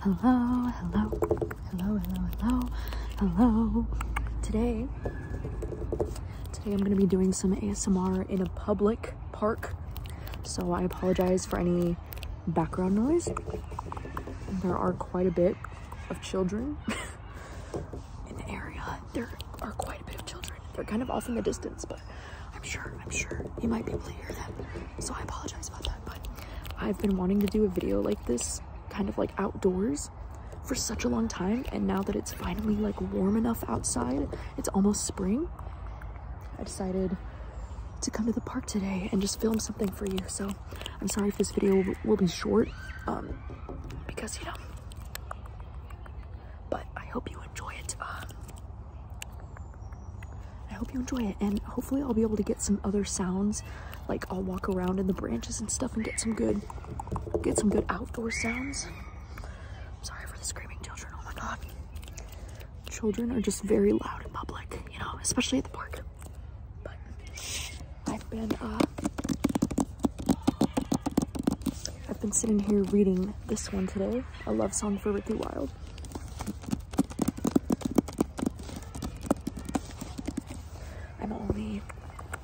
Hello, hello, hello, hello, hello, hello. Today, today I'm gonna be doing some ASMR in a public park. So I apologize for any background noise. There are quite a bit of children in the area. There are quite a bit of children. They're kind of off in the distance, but I'm sure, I'm sure you might be able to hear them. So I apologize about that, but I've been wanting to do a video like this, kind of like outdoors for such a long time. And now that it's finally like warm enough outside, it's almost spring. I decided to come to the park today and just film something for you. So I'm sorry if this video will be short um, because, you know, but I hope you enjoy it. Um, I hope you enjoy it, and hopefully I'll be able to get some other sounds. Like I'll walk around in the branches and stuff and get some good, get some good outdoor sounds. I'm sorry for the screaming children. Oh my god, children are just very loud in public, you know, especially at the park. But I've been, uh, I've been sitting here reading this one today, a love song for Ricky Wild. I'm only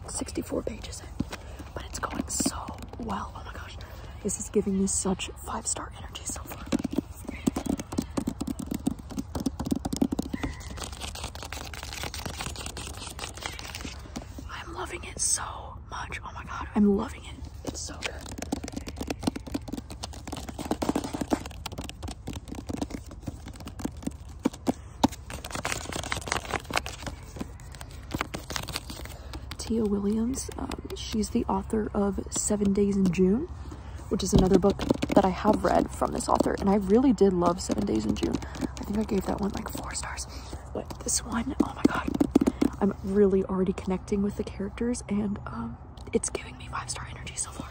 64 pages in, but it's going so well. Oh my gosh, this is giving me such five-star energy so far. I'm loving it so much. Oh my god, I'm loving it's so good. Tia Williams, um, she's the author of Seven Days in June, which is another book that I have read from this author, and I really did love Seven Days in June. I think I gave that one like four stars, but this one, oh my god, I'm really already connecting with the characters, and um, it's giving me five star energy so far.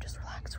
Just relax,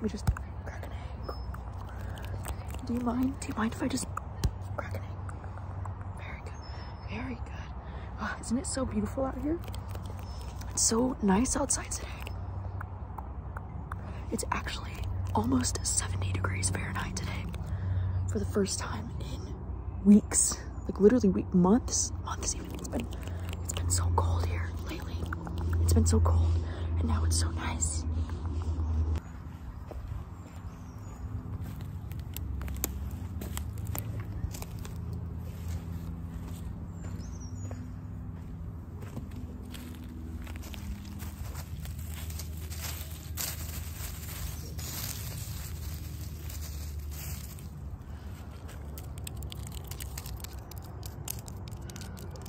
We just crack an egg. Do you mind? Do you mind if I just crack an egg? Very good. Very good. Oh, isn't it so beautiful out here? It's so nice outside today. It's actually almost 70 degrees Fahrenheit today for the first time in weeks. Like literally weeks, months, months even. It's been it's been so cold here lately. It's been so cold and now it's so nice.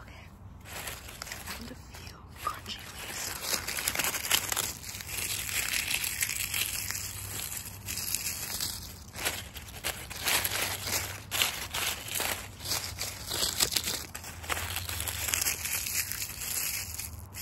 Okay. And a few crunchy leaves over here.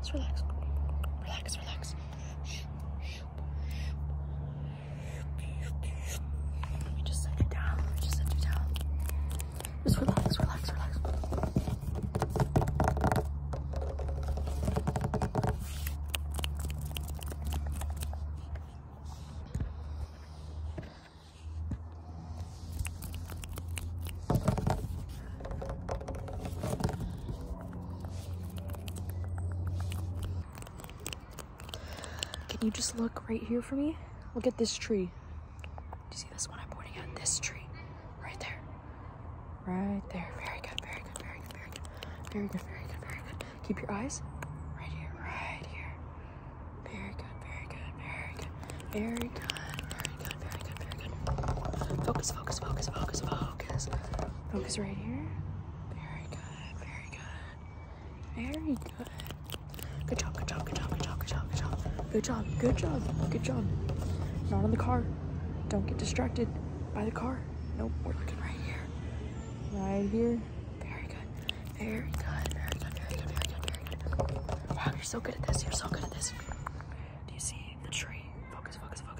Just relax. Relax, relax. Let me just set it down. Let me just set it down. Just relax, relax, relax. Can you just look right here for me? Look at this tree. Do you see this one I'm pointing at? This tree. Right there. Right there. Very good, very good, very good, very good. Very good, very good, very good. Keep your eyes right here, right here. Very good, very good, very good, very good. Very good, very good, very good. Focus, focus, focus, focus, focus. Focus right here. Very good, very good. Very good. Good job, good job, good job, good job, good job, good job. Good job, good job, good job. Not on the car. Don't get distracted by the car. Nope, we're looking right here. Right here. Very good. Very good, very good, very good, very good, very good. Wow, you're so good at this. You're so good at this. Do you see the tree? Focus, focus, focus.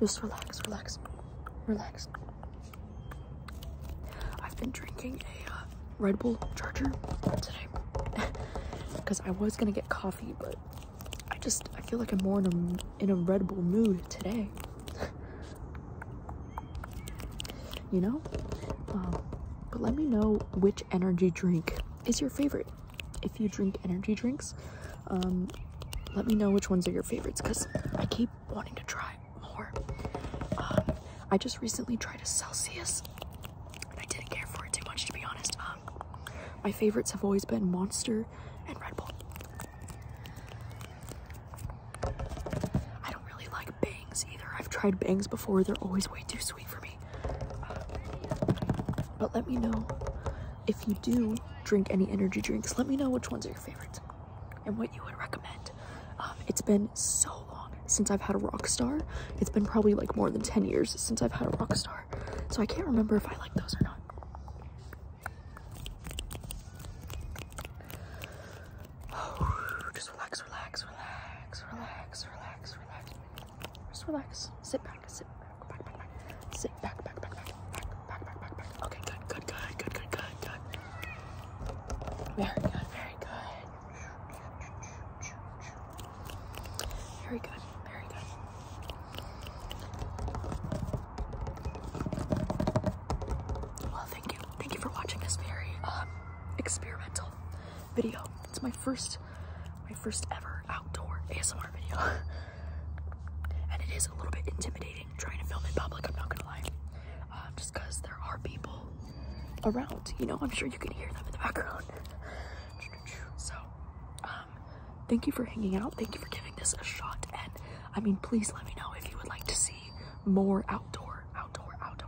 Just relax, relax, relax. I've been drinking a uh, Red Bull charger today because I was gonna get coffee, but I just I feel like I'm more in a in a Red Bull mood today. you know um, but let me know which energy drink is your favorite if you drink energy drinks um, let me know which ones are your favorites because i keep wanting to try more um, i just recently tried a celsius and i didn't care for it too much to be honest my favorites have always been monster and red bull i don't really like bangs either. I've tried bangs before. They're always way too sweet for me. but let me know if you do drink any energy drinks. Let me know which ones are your favorites and what you would recommend. Um, it's been so long since I've had a rock star. It's been probably like more than 10 years since I've had a rock star. So I can't remember if I like those or not. Oh, just relax, relax, relax, relax, relax, relax. Just relax. Sit back, sit back, back, back, back. Sit back, back, back, back, back, back, back, back, back. Okay, good, good, good, good, good, good, good. Very good, very good. Very good, very good. Well, thank you, thank you for watching this very um experimental video. It's my first, my first ever outdoor ASMR video. and it is a little bit intimidating trying to film in public, I'm not gonna lie. Um, just cause there are people around, you know, I'm sure you can hear them in the background. so, um, thank you for hanging out. Thank you for giving this a shot. And I mean, please let me know if you would like to see more outdoor, outdoor, outdoor